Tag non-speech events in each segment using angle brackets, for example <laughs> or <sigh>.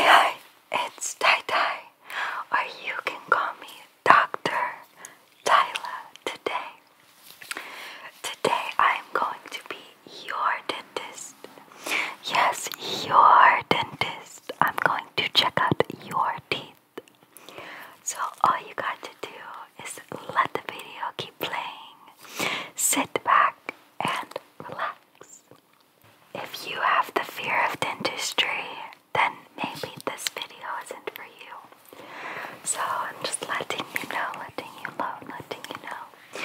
Hi, it's Tai Tai, or you can call me Dr. Tyla today. Today I'm going to be your dentist. Yes, your dentist. I'm going to check out your teeth. So all you got to do is let the video keep playing, sit back, and relax. If you have the fear of dentistry, then maybe this video isn't for you. So I'm just letting you know, letting you know, letting you know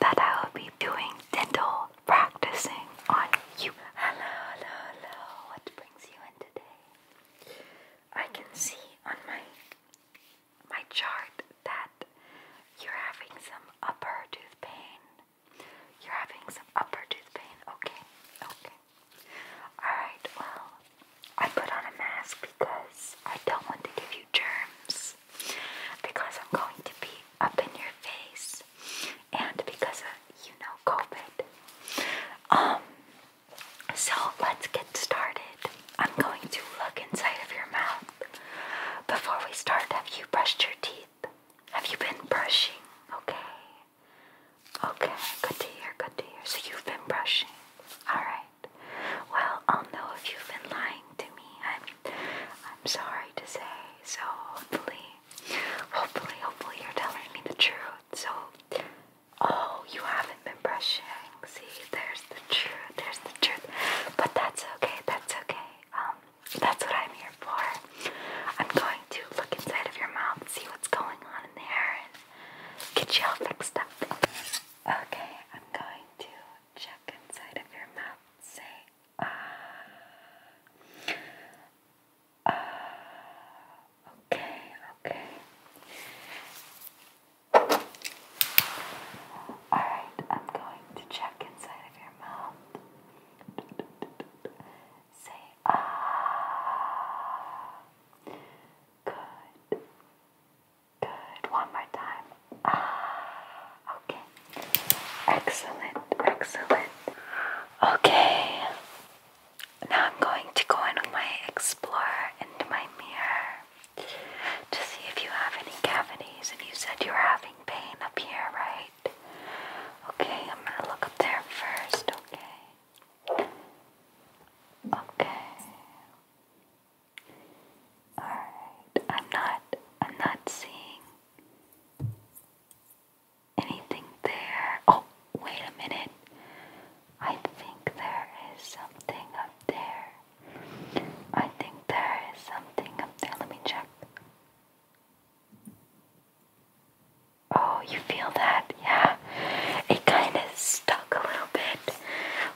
that I will be doing dental practicing on you. Hello, hello, hello. What brings you in today? I can see on my my chart that you're having some upper tooth pain. You're having some upper tooth pain. Okay, okay. Alright, well, I put on a mask because I don't want to give you germs. Because I'm going to be up in your face. And because of, you know, COVID. Um, so let's get started. I'm going to look inside of your mouth before we start, have you brushed your teeth? Have you been brushing? Okay. Okay, good to hear, good to hear. So you've been brushing. Alright. Well, I'll know if you've been lying to me. I'm I'm sorry to say. So hopefully hopefully, hopefully you're telling me the truth. So oh, you haven't been brushing. See, there's the truth, there's the truth. But that's okay, that's okay. Um that's what I'm here for. I'm going to look inside of your mouth, see what's going on in there, and get you all fixed up. Okay, I'm going to check inside of your mouth. Say, ah. Uh, okay, okay. Alright, I'm going to check inside of your mouth. Say ah. Good. Good. One more time. Ah. Okay. Excellent. Excellent. Okay. Now I'm going to go in with my explorer into my mirror to see if you have any cavities. And you said you were having pain up here, right? Okay, I'm gonna look up there first, okay? Okay. Alright, I'm not, I'm not seeing anything there. Oh, wait a minute. I think there is something up there. I think there is something up there. Let me check. Oh, you feel that? Yeah. It kind of stuck a little bit,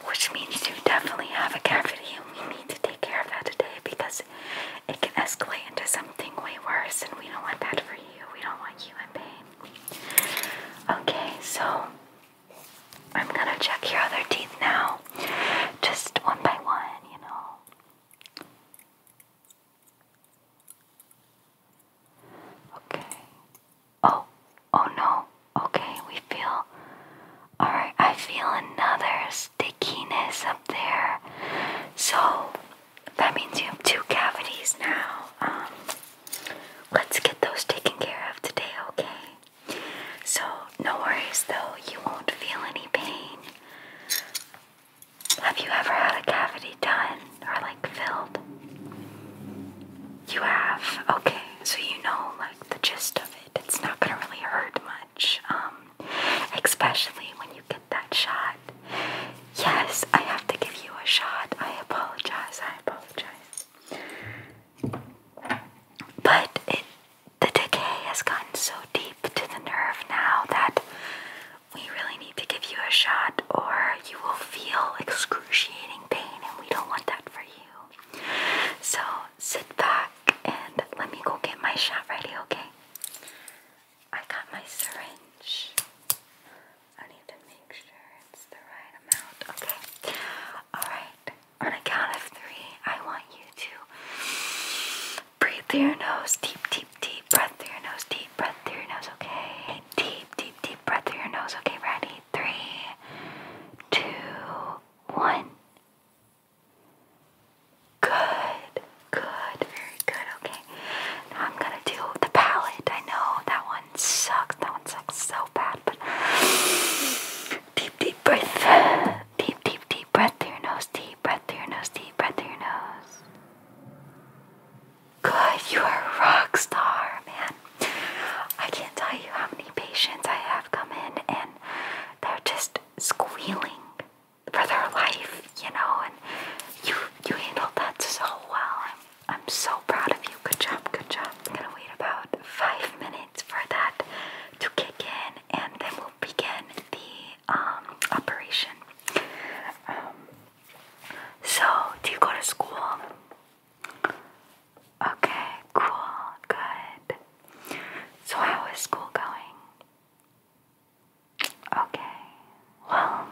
which means you definitely have a cavity, and we need to take care of that today because it can escalate into something way worse, and we don't want that for you. We don't want you in pain. Okay, so I'm gonna check your other teeth now, just one by one, you know. Okay. Oh, oh no. Okay, we feel. Alright, I feel another stickiness up there. So that means you have two cavities now. Um, let's get those taken care of today, okay? So, no worries though, you won't feel any pain. Have you ever had a cavity done or like filled? You have? Okay, so you know like the gist of it. It's not gonna really hurt much, um, especially when you get that shot. Yes, I have to give you a shot. I apologize, I apologize. But the decay has gotten so deep to the nerve now that we really need to give you a shot, or you will feel excruciating pain, and we don't want that for you. So sit back and let me go get my shot ready, okay? I got my syringe. I don't even make sure it's the right amount. Okay. Alright. On a count of three, I want you to breathe through your nose. Deep, deep, deep breath through your nose. Deep breath through your nose. Okay. Deep, deep, deep breath through your nose. Okay, ready? Three, two, one. Good, good, very good. Okay, I'm gonna do the palette. I know that one one sucks. That one sucks so bad. But deep, deep breath. Deep, deep, deep breath through your nose. Deep breath through your nose. Deep breath through your nose. Good. You are a rock star, man. I can't tell you how many patients I have come in and they're just squealing for their life, you know. And you you handled that so well. I'm I'm so proud of you. Good job, good job. I'm gonna wait about five minutes for that to kick in and then we'll begin the um, operation. Um, so, do you go to school? Okay, cool, good. So, how is school going? Okay, well,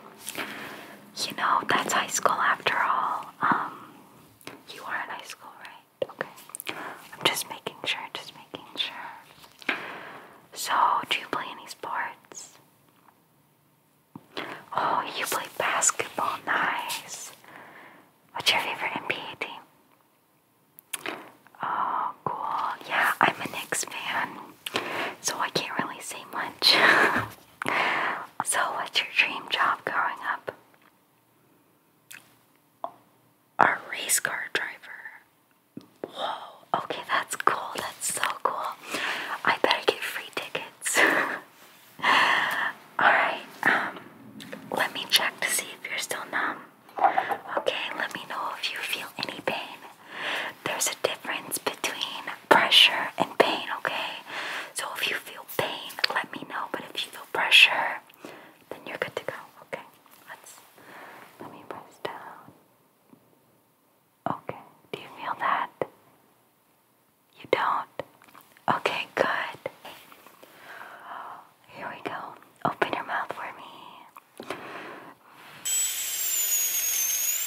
you know, that's high school after all um, you are at high school, right? Okay. I'm just making sure, just making sure. So, do you play any sports? Oh, you play basketball. Nice. What's your favorite NBA team? Oh, cool. Yeah, I'm a Knicks fan, so I can't really say much. <laughs> So, what's your dream job growing up? A race car driver. Whoa, okay, that's cool. That's so cool. I better get free tickets. <laughs> Alright, um, let me check to see if you're still numb. Okay, let me know if you feel any pain. There's a difference between pressure and pain, okay? So if you feel pain, let me know. But if you feel pressure, then you're good to go. Okay. Let's let me press down. Okay. Do you feel that? You don't? Okay, good. Here we go. Open your mouth for me.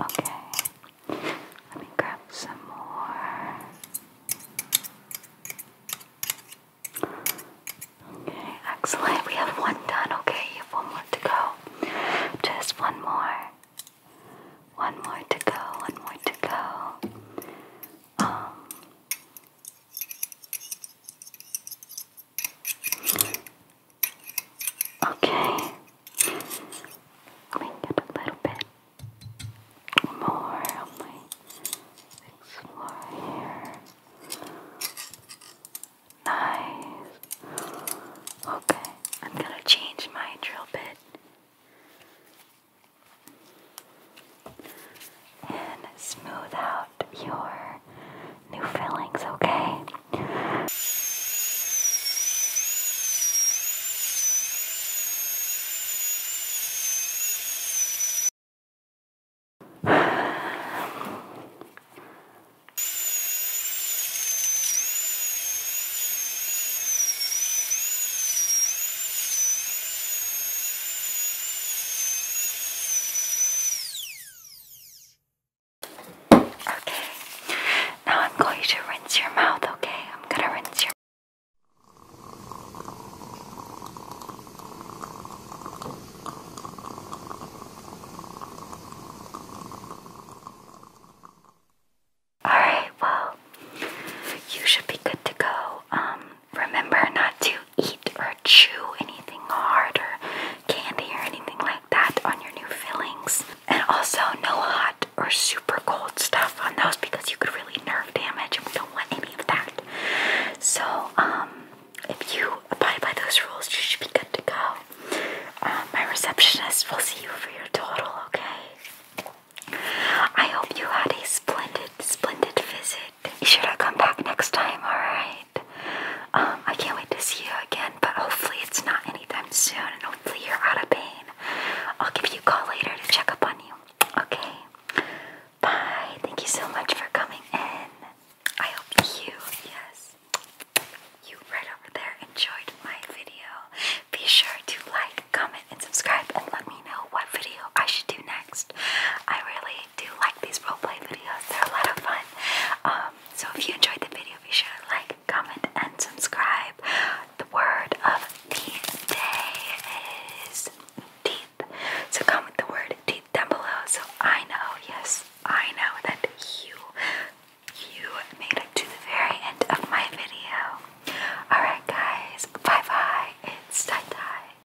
Okay, let me grab some more. Okay, excellent. We have one done. Okay, you have one more to go. Just one more. One more to go. One more to go. Um. Okay, a little bit more explore here. Nice. Okay, I'm gonna change my drill bit and smooth out your new feelings, okay? Okay. Now I'm going to rinse your mouth, okay? I'm gonna rinse your Alright, well, you should be good to go. Um, remember not to eat or chew anything hard or candy or anything like that on your new fillings. And also, no hot or super cold stuff on those because you could really nerve damage, and we don't want any of that. So, um, if you abide by those rules, you should be good to go. Um, my receptionist will see you for your total, okay? I hope you had a splendid, splendid visit. You should I come back next time, alright? Um, I can't wait to see you again, but hopefully it's not anytime soon, and hopefully you're out of pain. I'll give you a call later to check up on you. Okay? Bye. Thank you so much for coming in. I hope you, yes, you right over there enjoyed my video. Be sure to like, comment, and subscribe, and let me know what video I should do next. I really do like these roleplay videos, they're a lot of fun. Um, so if you enjoyed the video, be sure to like, comment, and subscribe. The word of the day is teeth. So comment the word teeth down below so I know, yes, I know that you, you made it to the very end of my video. Alright guys, bye bye, it's tie-tie.